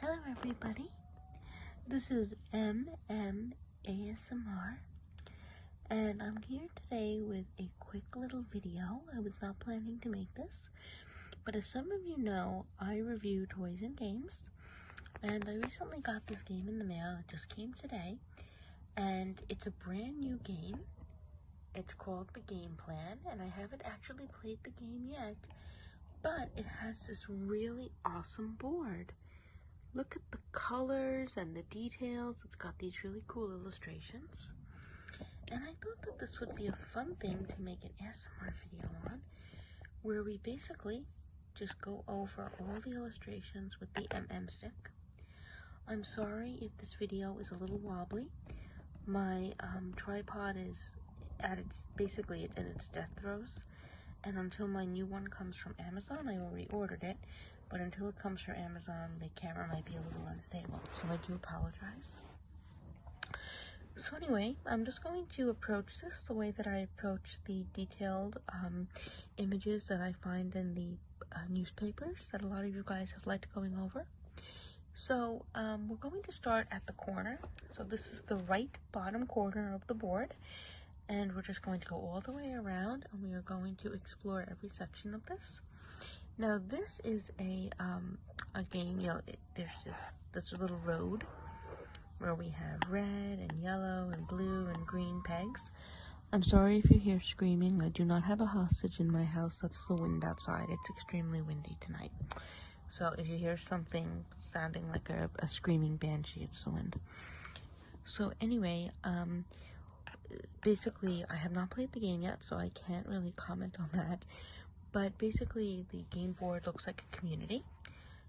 Hello, everybody. This is M M A S M R, and I'm here today with a quick little video. I was not planning to make this, but as some of you know, I review toys and games, and I recently got this game in the mail. It just came today, and it's a brand new game. It's called The Game Plan, and I haven't actually played the game yet, but it has this really awesome board. Look at the colors and the details. It's got these really cool illustrations. And I thought that this would be a fun thing to make an ASMR video on, where we basically just go over all the illustrations with the MM stick. I'm sorry if this video is a little wobbly my um, tripod is at its basically it's in its death throes and until my new one comes from amazon i already ordered it but until it comes from amazon the camera might be a little unstable so i do apologize so anyway i'm just going to approach this the way that i approach the detailed um, images that i find in the uh, newspapers that a lot of you guys have liked going over so um, we're going to start at the corner. So this is the right bottom corner of the board. And we're just going to go all the way around and we are going to explore every section of this. Now this is a, um, a game, you know, it, there's this, this little road where we have red and yellow and blue and green pegs. I'm sorry if you hear screaming. I do not have a hostage in my house. That's the wind outside. It's extremely windy tonight. So if you hear something sounding like a, a screaming banshee, it's the wind. So anyway, um, basically, I have not played the game yet, so I can't really comment on that. But basically, the game board looks like a community.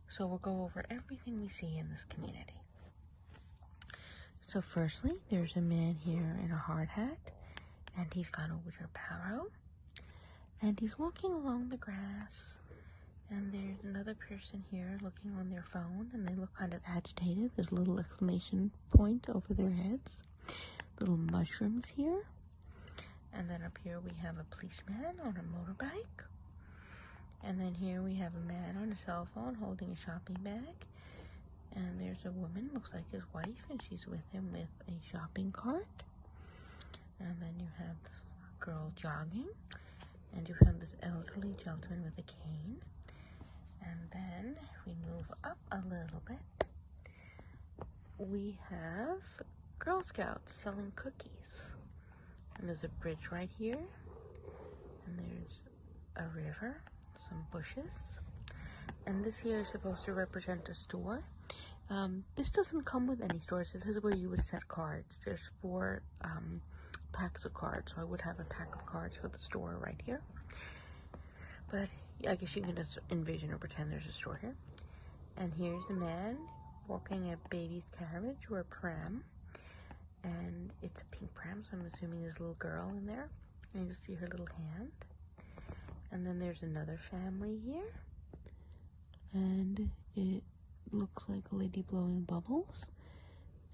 So we'll go over everything we see in this community. So firstly, there's a man here in a hard hat, and he's got a water barrow. And he's walking along the grass, and there's another person here looking on their phone, and they look kind of agitated. There's a little exclamation point over their heads, little mushrooms here. And then up here we have a policeman on a motorbike. And then here we have a man on a cell phone holding a shopping bag. And there's a woman, looks like his wife, and she's with him with a shopping cart and then you have this girl jogging, and you have this elderly gentleman with a cane. And then we move up a little bit. We have Girl Scouts selling cookies. And there's a bridge right here. And there's a river, some bushes. And this here is supposed to represent a store. Um, this doesn't come with any stores. This is where you would set cards. There's four um, packs of cards. So I would have a pack of cards for the store right here. But I guess you can just envision or pretend there's a store here. And here's a man walking a baby's carriage or pram. And it's a pink pram, so I'm assuming there's a little girl in there. And you see her little hand. And then there's another family here and it looks like a lady blowing bubbles.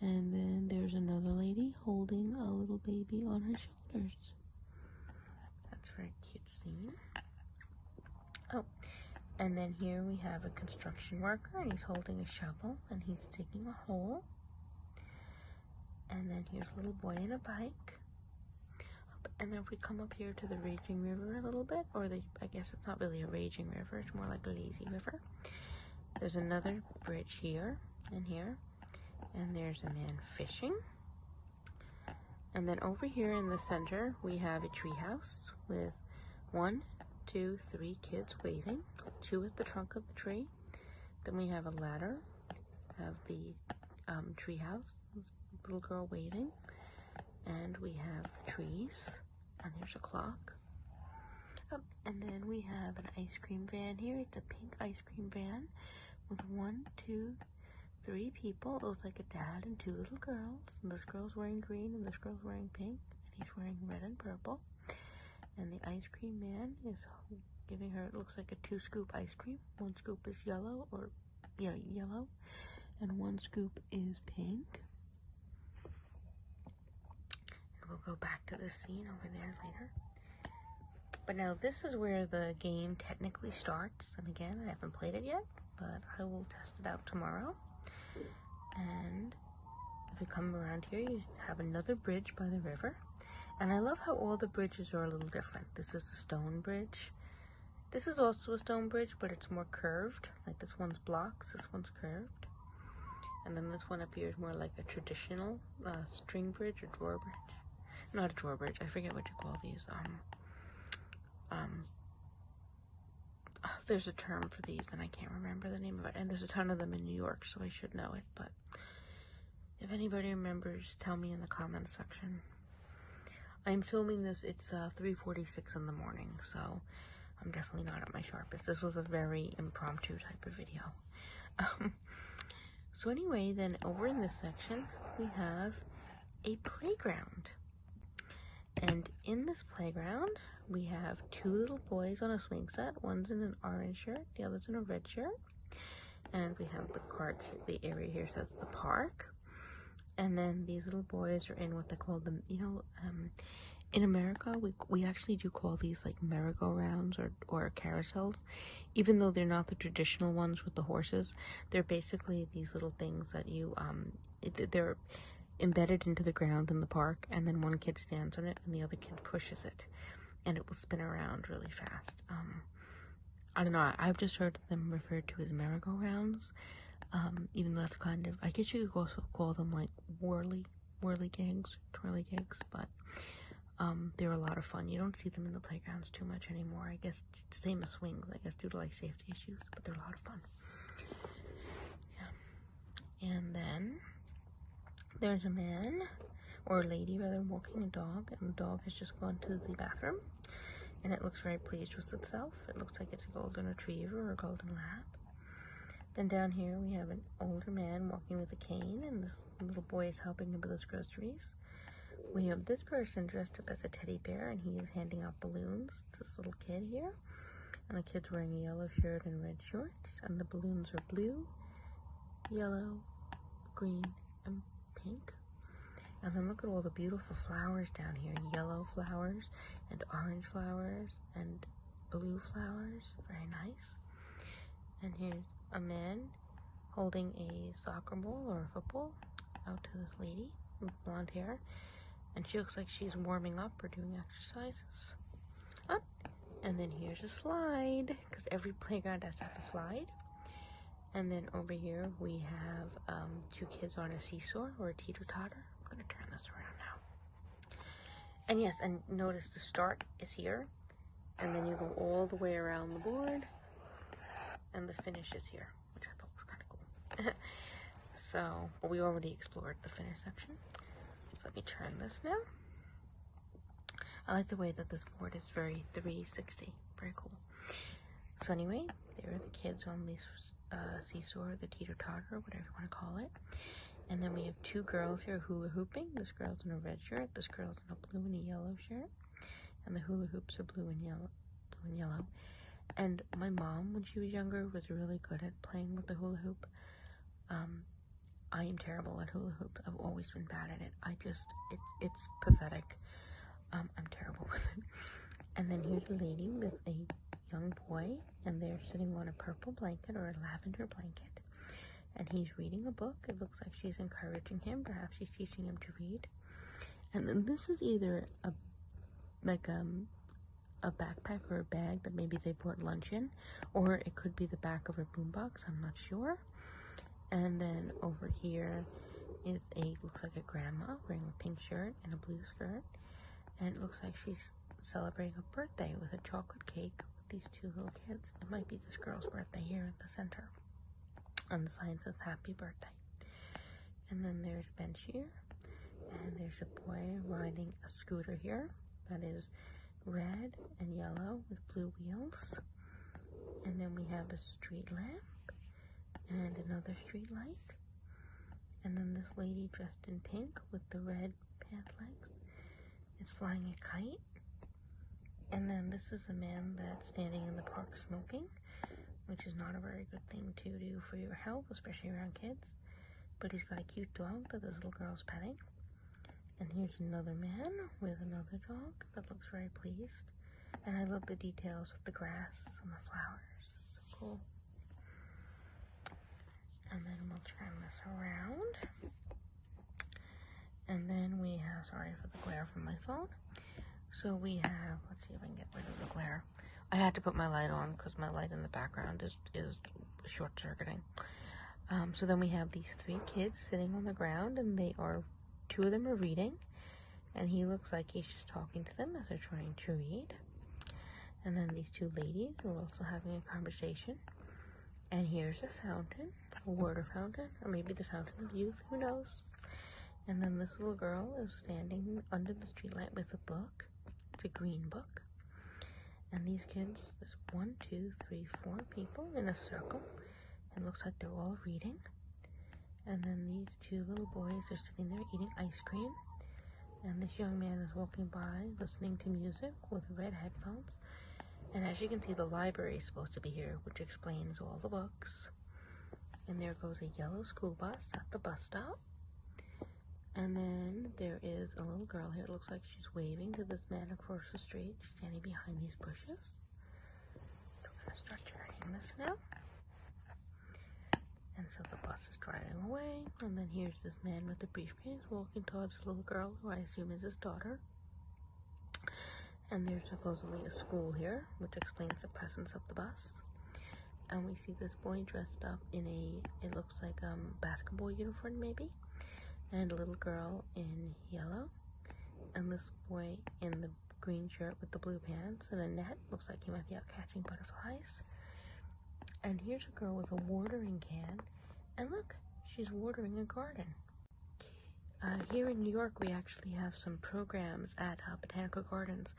And then there's another lady holding a little baby on her shoulders. That's very cute scene. Oh, and then here we have a construction worker and he's holding a shovel and he's digging a hole. And then here's a little boy in a bike and then if we come up here to the raging river a little bit or the i guess it's not really a raging river it's more like a lazy river there's another bridge here and here and there's a man fishing and then over here in the center we have a tree house with one two three kids waving two at the trunk of the tree then we have a ladder of the um, tree house little girl waving. And we have the trees. And there's a clock. Oh, and then we have an ice cream van here. It's a pink ice cream van with one, two, three people. It was like a dad and two little girls. And this girl's wearing green and this girl's wearing pink. And he's wearing red and purple. And the ice cream man is giving her, it looks like a two scoop ice cream. One scoop is yellow or yellow, and one scoop is pink. we'll go back to the scene over there later. But now this is where the game technically starts. And again, I haven't played it yet, but I will test it out tomorrow. And if you come around here, you have another bridge by the river. And I love how all the bridges are a little different. This is the stone bridge. This is also a stone bridge, but it's more curved. Like this one's blocks, this one's curved. And then this one appears more like a traditional uh, string bridge or drawbridge. Not a drawbridge, I forget what you call these. Um, um, ah, there's a term for these and I can't remember the name of it. And there's a ton of them in New York, so I should know it. But if anybody remembers, tell me in the comments section. I'm filming this, it's uh, 3.46 in the morning, so I'm definitely not at my sharpest. This was a very impromptu type of video. Um, so anyway, then over in this section, we have a playground. And in this playground, we have two little boys on a swing set. One's in an orange shirt, the other's in a red shirt. And we have the cart. the area here says the park. And then these little boys are in what they call them, you know, um, in America, we we actually do call these like merry-go-rounds or or carousels, even though they're not the traditional ones with the horses. They're basically these little things that you um, they're embedded into the ground in the park, and then one kid stands on it and the other kid pushes it, and it will spin around really fast. Um, I don't know. I've just heard them referred to as merry-go-rounds, um, even though that's kind of, I guess you could also call them like whirly, whirly gigs, twirly gigs, but um, they were a lot of fun. You don't see them in the playgrounds too much anymore. I guess same as swings, I guess due to like safety issues, but they're a lot of fun. Yeah. And then there's a man or a lady rather walking a dog, and the dog has just gone to the bathroom and it looks very pleased with itself. It looks like it's a golden retriever or a golden lab. Then down here we have an older man walking with a cane, and this little boy is helping him with his groceries. We have this person dressed up as a teddy bear, and he is handing out balloons to this little kid here. And the kid's wearing a yellow shirt and red shorts, and the balloons are blue, yellow, green, and pink. And then look at all the beautiful flowers down here yellow flowers, and orange flowers, and blue flowers. Very nice. And here's a man holding a soccer ball or a football out to this lady with blonde hair. And she looks like she's warming up or doing exercises. And then here's a slide, because every playground has a slide. And then over here we have two um, kids on a seesaw or a teeter totter. I'm gonna turn this around now. And yes, and notice the start is here, and then you go all the way around the board, and the finish is here, which I thought was kind of cool. so, well, we already explored the finish section. let me turn this now. I like the way that this board is very 360, very cool. So anyway, there are the kids on the uh, seesaw, the teeter-totter, whatever you want to call it. And then we have two girls here hula hooping. This girl's in a red shirt. This girl's in a blue and a yellow shirt. And the hula hoops are blue and yellow. Blue and yellow. And my mom, when she was younger, was really good at playing with the hula hoop. Um, I am terrible at hula hoops. I've always been bad at it. I just, it's, it's pathetic. Um, I'm terrible with it. And then here's a lady with a young boy, and they're sitting on a purple blanket or a lavender blanket. And he's reading a book. It looks like she's encouraging him. Perhaps she's teaching him to read. And then this is either a like um a backpack or a bag that maybe they brought lunch in, or it could be the back of a boombox. I'm not sure. And then over here is a looks like a grandma wearing a pink shirt skirt and a blue skirt. And it looks like she's celebrating a birthday with a chocolate cake with these two little kids. It might be this girl's birthday here at the center. On the sign says happy birthday. And then there's a bench here. And there's a boy riding a scooter here that is red and yellow with blue wheels. And then we have a street lamp and another street light. And then this lady dressed in pink with the red pant legs is flying a kite. And then this is a man that's standing in the park smoking, which is not a very good thing to do for your health, especially around kids. But he's got a cute dog that this little girl's petting. And here's another man with another dog that looks very pleased. And I love the details of the grass and the flowers cool. And then we'll turn this around. And then we have, sorry for the glare from my phone. So we have, let's see if I can get rid of the glare. I had to put my light on because my light in the background is, is short circuiting. Um, so then we have these three kids sitting on the ground and they are, two of them are reading. And he looks like he's just talking to them as they're trying to read. And then these two ladies are also having a conversation. And here's a fountain, a water fountain, or maybe the fountain of youth, who knows? And then this little girl is standing under the streetlight with a book. It's a green book. And these kids, there's one, two, three, four people in a circle. It looks like they're all reading. And then these two little boys are sitting there eating ice cream and this young man is walking by listening to music with red headphones. And as you can see, the library is supposed to be here, which explains all the books. And there goes a yellow school bus at the bus stop. And then there is a little girl here. It looks like she's waving to this man across the street. standing behind these bushes. We're going to start turning this now. And so the bus is driving away, and then here's this man with a briefcase walking towards a little girl who I assume is his daughter. And there's supposedly a school here, which explains the presence of the bus. And we see this boy dressed up in a, it looks like a um, basketball uniform maybe, and a little girl in yellow, and this boy in the green shirt with the blue pants and a net. Looks like he might be out catching butterflies. And here's a girl with a watering can. And look, she's watering a garden. Uh, here in New York, we actually have some programs at uh, botanical gardens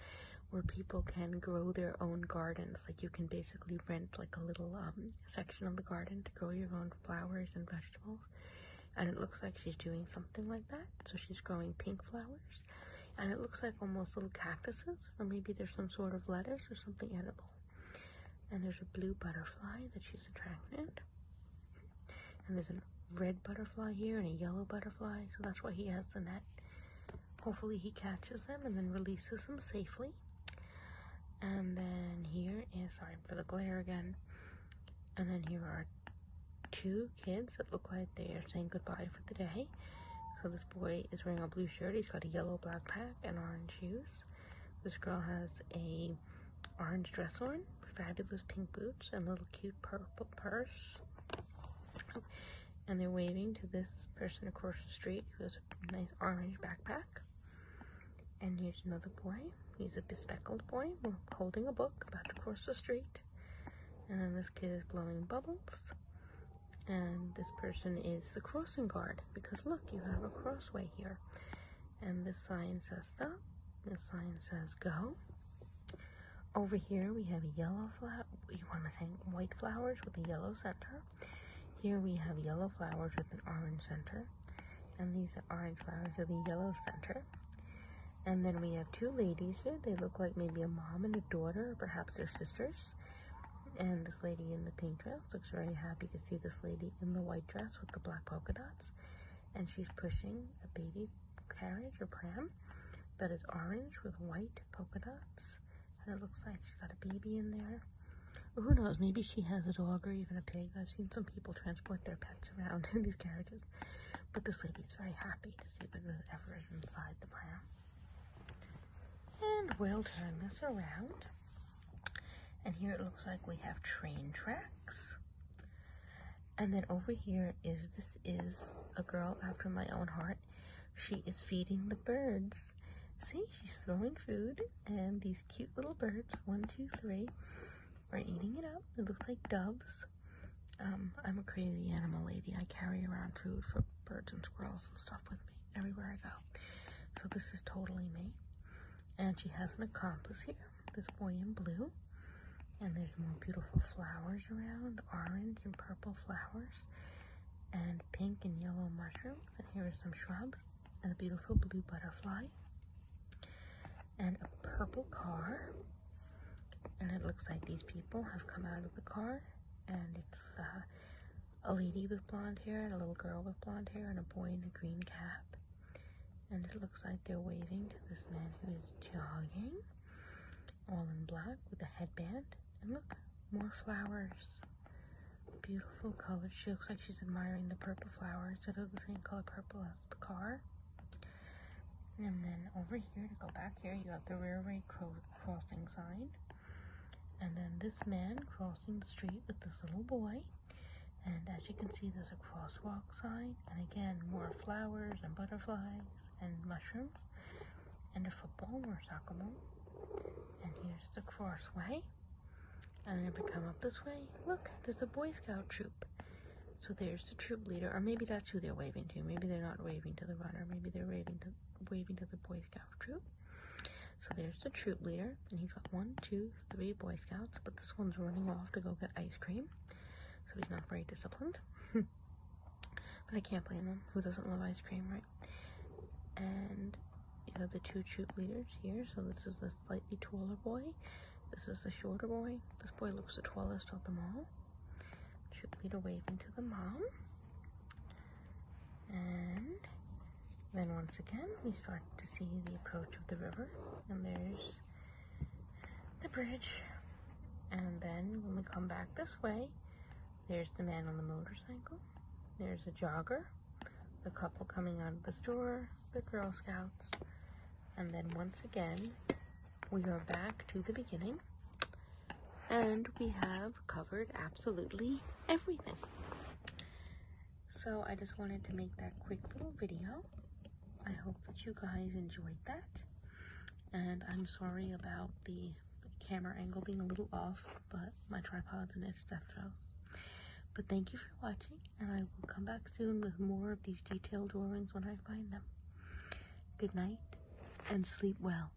where people can grow their own gardens. Like you can basically rent like a little um, section of the garden to grow your own flowers and vegetables. And it looks like she's doing something like that. So she's growing pink flowers and it looks like almost little cactuses or maybe there's some sort of lettuce or something edible and there's a blue butterfly that she's attracted and there's a red butterfly here and a yellow butterfly so that's why he has the net hopefully he catches them and then releases them safely and then here is sorry for the glare again and then here are two kids that look like they are saying goodbye for the day. So this boy is wearing a blue shirt. He's got a yellow backpack and orange shoes. This girl has a orange dress on, fabulous pink boots, and little cute purple purse. And they're waving to this person across the street who has a nice orange backpack. And here's another boy. He's a bespectacled boy holding a book about to cross the street. And then this kid is blowing bubbles and this person is the crossing guard because look you have a crossway here and this sign says stop this sign says go over here we have yellow flower you want to think white flowers with a yellow center here we have yellow flowers with an orange center and these are orange flowers with a yellow center and then we have two ladies here they look like maybe a mom and a daughter or perhaps they're sisters and this lady in the pink dress looks very happy to see this lady in the white dress with the black polka dots and she's pushing a baby carriage or pram that is orange with white polka dots and it looks like she's got a baby in there who knows maybe she has a dog or even a pig i've seen some people transport their pets around in these carriages but this lady is very happy to see whatever is inside the pram and we'll turn this around. And here it looks like we have train tracks. And then over here is, this is a girl after my own heart. She is feeding the birds. See, she's throwing food and these cute little birds, one, two, three, are eating it up. It looks like doves. Um, I'm a crazy animal lady. I carry around food for birds and squirrels and stuff with me everywhere I go. So this is totally me. And she has an accomplice here, this boy in blue. And there's more beautiful flowers around, orange and purple flowers, and pink and yellow mushrooms. And here are some shrubs, and a beautiful blue butterfly, and a purple car. And it looks like these people have come out of the car and it's uh, a lady with blonde hair and a little girl with blonde hair and a boy in a green cap. And it looks like they're waving to this man who is jogging, all in black with a headband. And look, more flowers. Beautiful colors. She looks like she's admiring the purple flowers that are the same color purple as the car. And then over here, to go back here, you got the railway crossing sign. And then this man crossing the street with this little boy. And as you can see, there's a crosswalk sign. And again, more flowers and butterflies and mushrooms. And a football or soccer ball. And here's the crossway. And if we come up this way, look, there's a Boy Scout troop. So there's the troop leader, or maybe that's who they're waving to. Maybe they're not waving to the runner. Maybe they're waving to waving to the Boy Scout troop. So there's the troop leader, and he's got one, two, three Boy Scouts, but this one's running off to go get ice cream, so he's not very disciplined. but I can't blame him. Who doesn't love ice cream, right? And you have the two troop leaders here. So this is the slightly taller boy. This is the shorter boy. This boy looks the tallest of them all. Troop leader waving to the mom. And then once again, we start to see the approach of the river, and there's the bridge. And then when we come back this way, there's the man on the motorcycle, there's a jogger, the couple coming out of the store, the Girl Scouts, and then once again, we are back to the beginning and we have covered absolutely everything. So I just wanted to make that quick little video. I hope that you guys enjoyed that. And I'm sorry about the camera angle being a little off, but my tripod's in its death throes. But thank you for watching, and I will come back soon with more of these detailed drawings when I find them. Good night, and sleep well.